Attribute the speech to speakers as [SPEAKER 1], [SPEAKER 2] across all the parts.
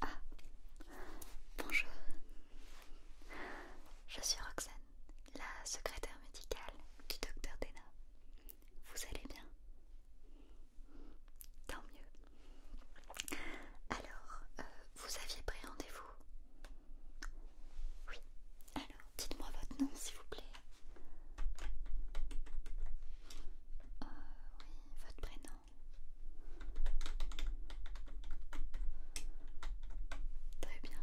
[SPEAKER 1] Ah, bonjour. Je suis Roxane, la secrétaire médicale du docteur Dena. Vous allez bien Tant mieux. Alors, euh, vous aviez pris rendez-vous Oui, alors, dites-moi votre nom, s'il vous plaît. Euh, oui, votre prénom. Très bien.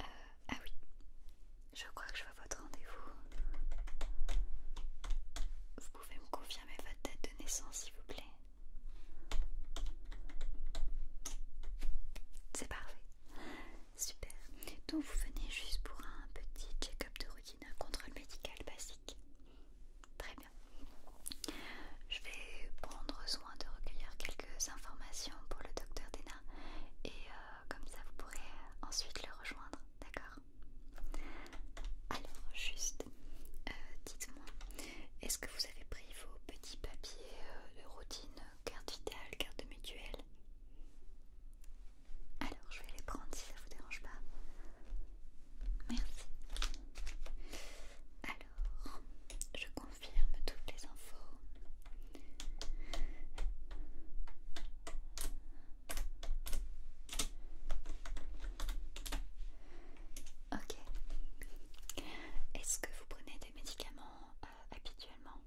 [SPEAKER 1] Euh, ah oui, je crois que je vois votre rendez-vous. Vous pouvez me confirmer votre date de naissance, s'il vous plaît. C'est parfait. Super. Donc vous venez juste pour un petit check-up de routine, un contrôle médical basique. Très bien. Je vais prendre soin de recueillir quelques informations pour le docteur Dena et euh, comme ça vous pourrez ensuite le rejoindre, d'accord Alors juste, euh, dites-moi, est-ce que vous avez pris vos petits papiers euh, de routine euh, carte vitale, carte de mutuelle. Alors je vais les prendre si ça vous dérange pas. Merci. Alors, je confirme toutes les infos. Ok. Est-ce que vous prenez des médicaments habituellement.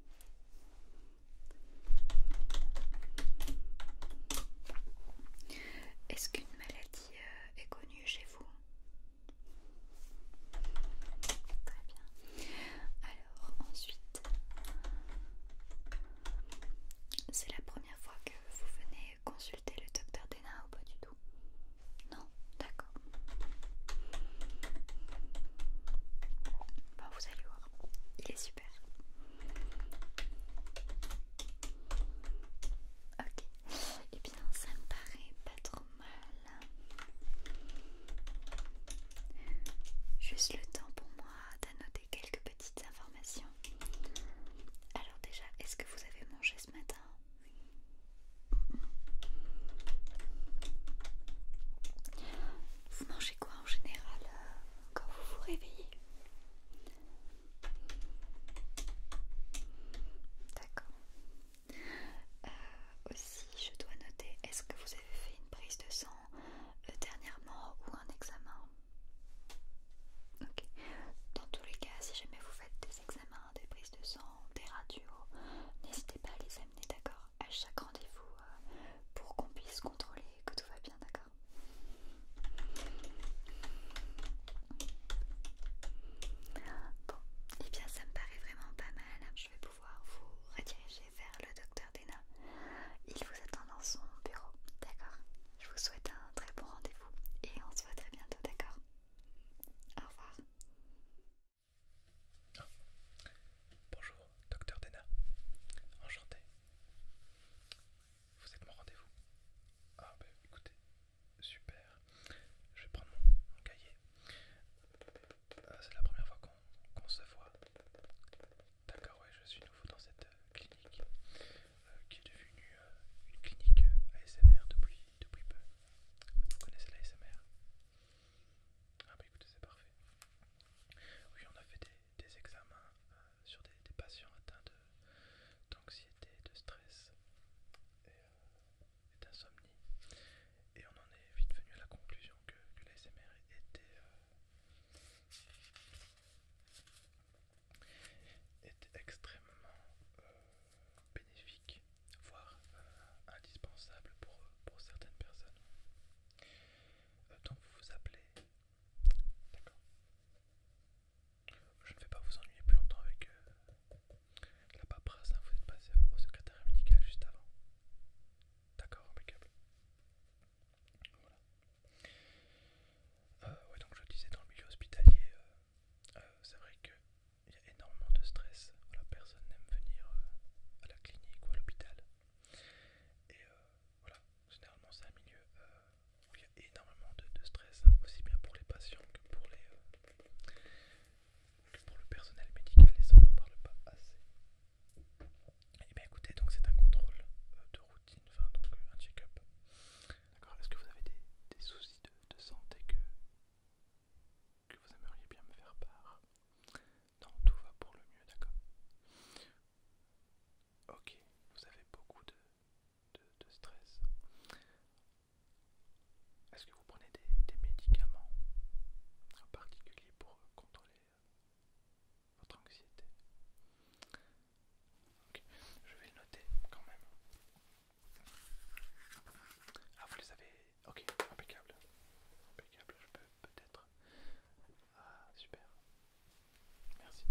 [SPEAKER 1] Est-ce qu'une maladie euh, est connue chez vous Très bien. Alors ensuite, c'est la première fois que vous venez consulter le docteur Dena ou pas du tout Non, d'accord. Bon, vous allez voir, il est super. Ok, et eh bien ça me paraît pas trop mal. Juste le temps pour moi d'annoter quelques petites informations. Alors déjà, est-ce que vous avez mangé ce matin vous mangez quoi en général euh, quand vous vous réveillez D'accord. Euh, aussi, je dois noter, est-ce que vous avez fait une prise de sang euh, dernièrement ou un examen Ok. Dans tous les cas, si jamais vous faites des examens, des prises de sang, des radios, n'hésitez pas à les amener, d'accord à chaque rendez-vous euh, pour qu'on puisse contrôler que tout va bien, d'accord Bon, et eh bien ça me paraît vraiment pas mal. Je vais pouvoir vous rediriger vers le docteur Dena. Il vous attend dans son bureau, d'accord Je vous souhaite un très bon rendez-vous et on se voit très bientôt, d'accord Au revoir.
[SPEAKER 2] Ah. Bonjour, docteur Dena. Enchanté. Vous êtes mon rendez-vous Ah, bah écoutez, super. Je vais prendre mon, cahier. Euh, c'est la première fois qu'on se voit. D'accord, ouais, je suis nouveau dans cette euh, clinique euh, qui est devenue une clinique ASMR depuis, depuis peu. Vous connaissez l'ASMR ah bah écoutez, c'est parfait. Oui, on a fait des, examens euh, sur des, patients atteints d'anxiété, de, stress euh, et, d'insomnie. Et on en est vite venu à la conclusion que, l'ASMR euh, était, extrêmement bénéfique, voire euh, indispensable euh, pour, certaines personnes. Euh, donc vous vous appelez... D'accord. Je ne vais pas vous ennuyer plus longtemps avec la paperasse, hein, vous êtes passé au, secrétariat médical juste avant. D'accord, impeccable. Voilà. ouais, donc je disais dans le milieu hospitalier, c'est vrai que il y a énormément de stress, la personne n'aime venir euh, à la clinique ou à l'hôpital. Et euh, voilà, généralement c'est un milieu euh, où il y a énormément de, stress, aussi bien pour les patients que pour, les, pour le personnel médical, et ça on n'en parle pas assez. Et eh bien écoutez, donc c'est un contrôle de routine, enfin donc un check-up. D'accord, est-ce que vous avez des, soucis de, de santé que que vous aimeriez bien me faire part. Non, tout va pour le mieux, d'accord Ok, vous avez beaucoup de, de, stress. Est-ce que vous prenez des, des médicaments en particulier pour contrôler euh, votre anxiété Ok, je vais le noter quand même. Ah, vous les avez Ok, impeccable. Impeccable, je peux peut-être. Ah, super. Merci.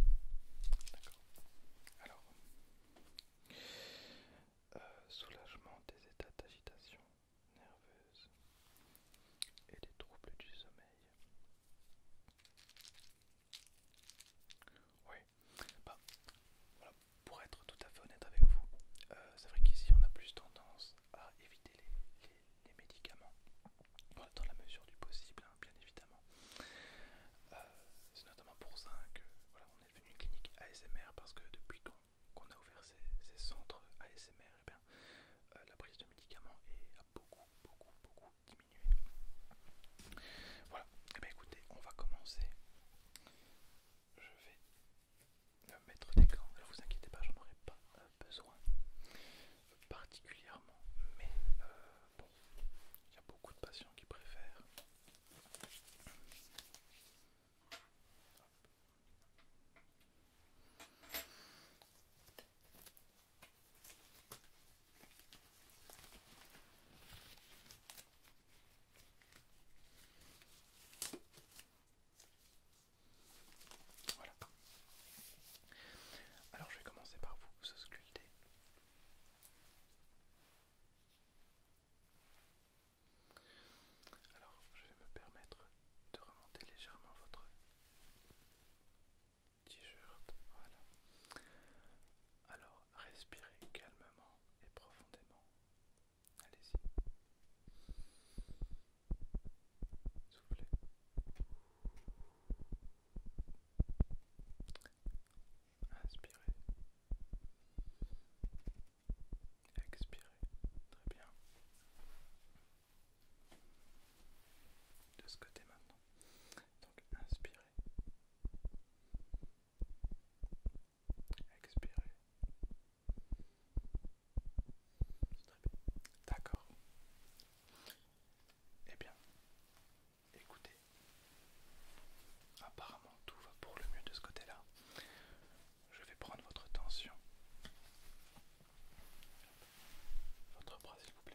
[SPEAKER 2] D'accord. Alors, euh, soulagement des états d'agitation nerveuse et des troubles du sommeil. Oui, bah, voilà pour être tout à fait honnête avec vous, euh, c'est vrai qu'ici on a plus tendance à éviter les, médicaments dans la mesure du possible, hein, bien évidemment. Euh, c'est notamment pour ça que on est devenu une clinique ASMR parce que depuis qu'on a ouvert ces, centres ASMR, eh euh, la prise de médicaments a beaucoup, beaucoup, beaucoup diminué. Voilà, et eh écoutez, on va commencer. Je vais mettre des gants. Alors vous inquiétez pas, j'en aurai pas euh, besoin particulièrement, mais euh, bon, il y a beaucoup de patients qui préfèrent. Voilà. Alors je vais commencer par vous sculpter. Alors je vais me permettre de remonter légèrement votre t-shirt. Alors respirez calmement et profondément. Allez-y. Soufflez. Inspirez. Expirez. Très bien. De ce côté maintenant. Donc inspirez expirez. D'accord. Eh bien, écoutez, apparemment tout va pour le mieux de ce côté-là. Je vais prendre votre tension. Votre bras, s'il vous plaît.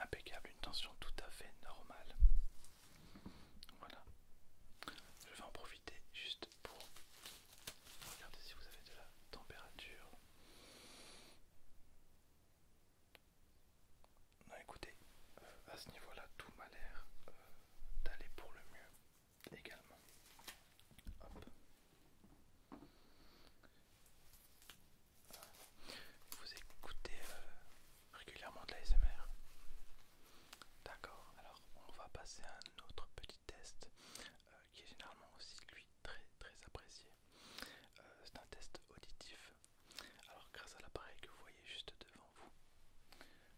[SPEAKER 2] Impeccable, une tension tout à fait normale. Voilà. Je vais en profiter juste pour regarder si vous avez de la température. Non, écoutez, à ce niveau-là, tout m'a l'air euh, d'aller pour le mieux également. Vous écoutez euh, régulièrement de la D'accord, alors on va passer à un autre petit test euh, qui est généralement aussi lui très très apprécié. Euh, c'est un test auditif. Alors grâce à l'appareil que vous voyez juste devant vous,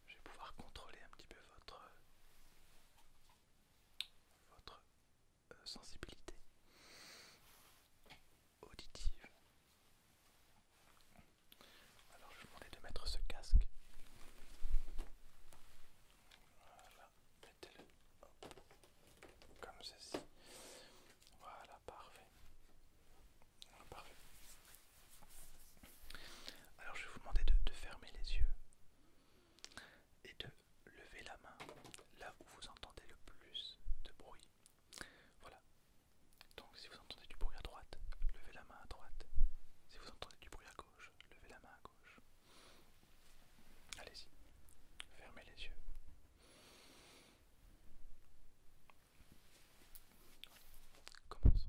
[SPEAKER 2] je vais pouvoir contrôler un petit peu votre votre euh, sensibilité auditive. Alors je vais vous demander de mettre ce casque. Voilà, mettez-le comme ceci. Voilà, parfait. Parfait. Alors je vais vous demander de, de fermer les yeux et de levez la main là où vous entendez le plus de bruit. Voilà. Donc si vous entendez du bruit à droite, levez la main à droite. Si vous entendez du bruit à gauche, levez la main à gauche. Allez-y. Fermez les yeux. Commence.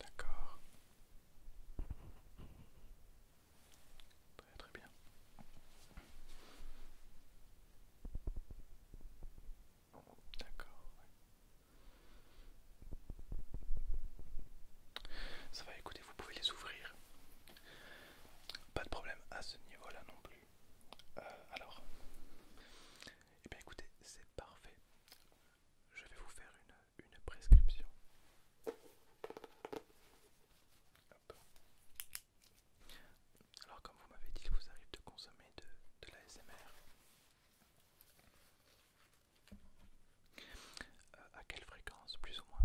[SPEAKER 2] D'accord. Très très bien. D'accord. Ça va, écoutez, vous pouvez les ouvrir. Pas de problème à ce niveau-là non plus. Euh, alors, et eh bien écoutez, c'est parfait. Je vais vous faire une, prescription. Alors comme vous m'avez dit, il vous arrive de consommer de, l'ASMR. Euh, à quelle fréquence, plus ou moins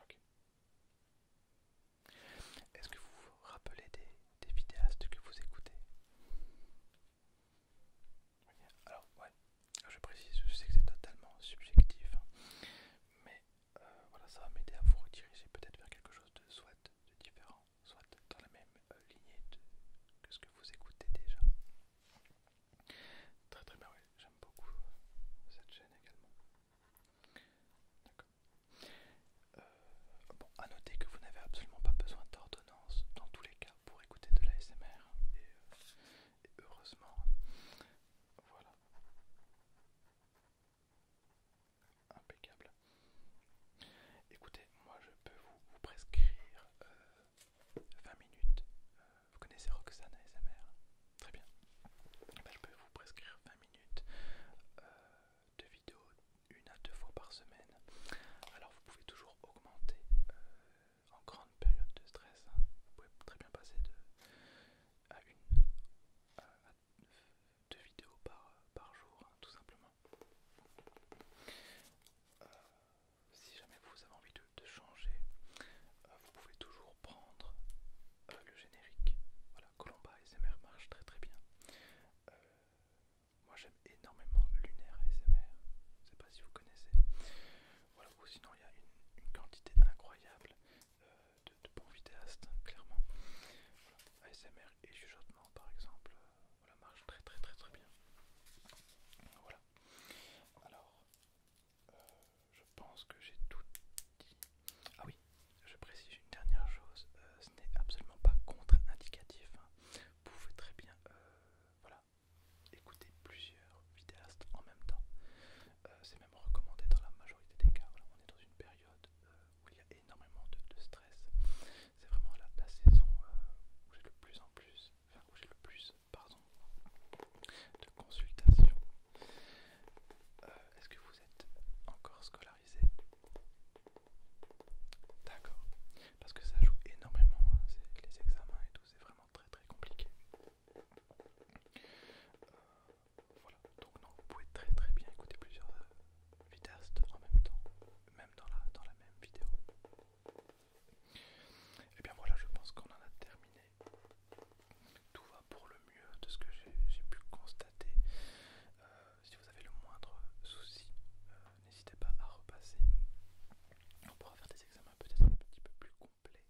[SPEAKER 2] Ok. Est-ce que vous vous rappelez des, vidéastes que vous écoutez Alors, ouais, je précise, je sais que c'est totalement subjectif, hein. mais euh, voilà, ça va m'aider à vous rediriger peut-être vers quelque chose de soit de différent, soit dans la même euh, lignée que ce que vous écoutez déjà. Très très bien, oui, j'aime beaucoup cette chaîne également. D'accord. A euh, à noter que vous n'avez absolument pas besoin d'ordonnance dans tous les cas pour écouter de l'ASMR, euh, et, heureusement, voilà. Impeccable. Écoutez, moi je peux vous, prescrire 20 euh, minutes. vous connaissez Roxane ASMR Très bien. Ben, je peux vous prescrire 20 minutes euh, de vidéos une à deux fois par semaine. Alors vous pouvez toujours augmenter euh, en grande période de stress. Hein. Vous pouvez très bien passer de à une à, deux vidéos par, par jour, hein, tout simplement. Euh, si jamais vous avez envie de, changer, vous pouvez toujours prendre euh, le générique. Voilà, Colomba SMR marche très très bien. Euh, moi j'aime énormément Lunaire SMR, je sais pas si vous connaissez. Voilà, ou sinon il y a une, quantité incroyable euh, de, bons vidéastes, clairement. ASMR et Juchotement par exemple, voilà, marche très très très très bien. Voilà. Alors, je pense que j'ai tout dit. Ah oui, je précise une dernière chose, euh, ce n'est absolument pas contre-indicatif. Hein. Vous pouvez très bien euh, voilà, écouter plusieurs vidéastes en même temps. Euh, c'est même recommandé dans la majorité des cas. Voilà, on est dans une période où il y a énormément de, stress. C'est vraiment la, saison où j'ai le plus en plus, où j'ai le plus, pardon, de consultations. Est-ce que vous êtes encore scolarisé D'accord. Parce que ça joue énormément, hein, les examens et tout, c'est vraiment très très compliqué. Euh, voilà, donc non, vous pouvez très très bien écouter plusieurs euh, vidéastes en même temps, même dans dans la même vidéo. Et eh bien voilà, je pense qu'on en a terminé tout va pour le mieux de ce que j'ai pu constater. Euh, si vous avez le moindre souci, euh, n'hésitez pas à repasser. On pourra faire des examens peut-être un petit peu plus complets.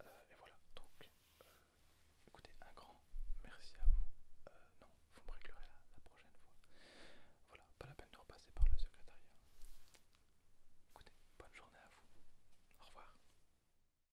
[SPEAKER 2] Euh, et voilà, donc écoutez, un grand merci à vous. non, vous me réclurez la, la prochaine fois. Voilà, pas la peine de repasser par le secrétariat. Écoutez, bonne journée à vous. Au revoir.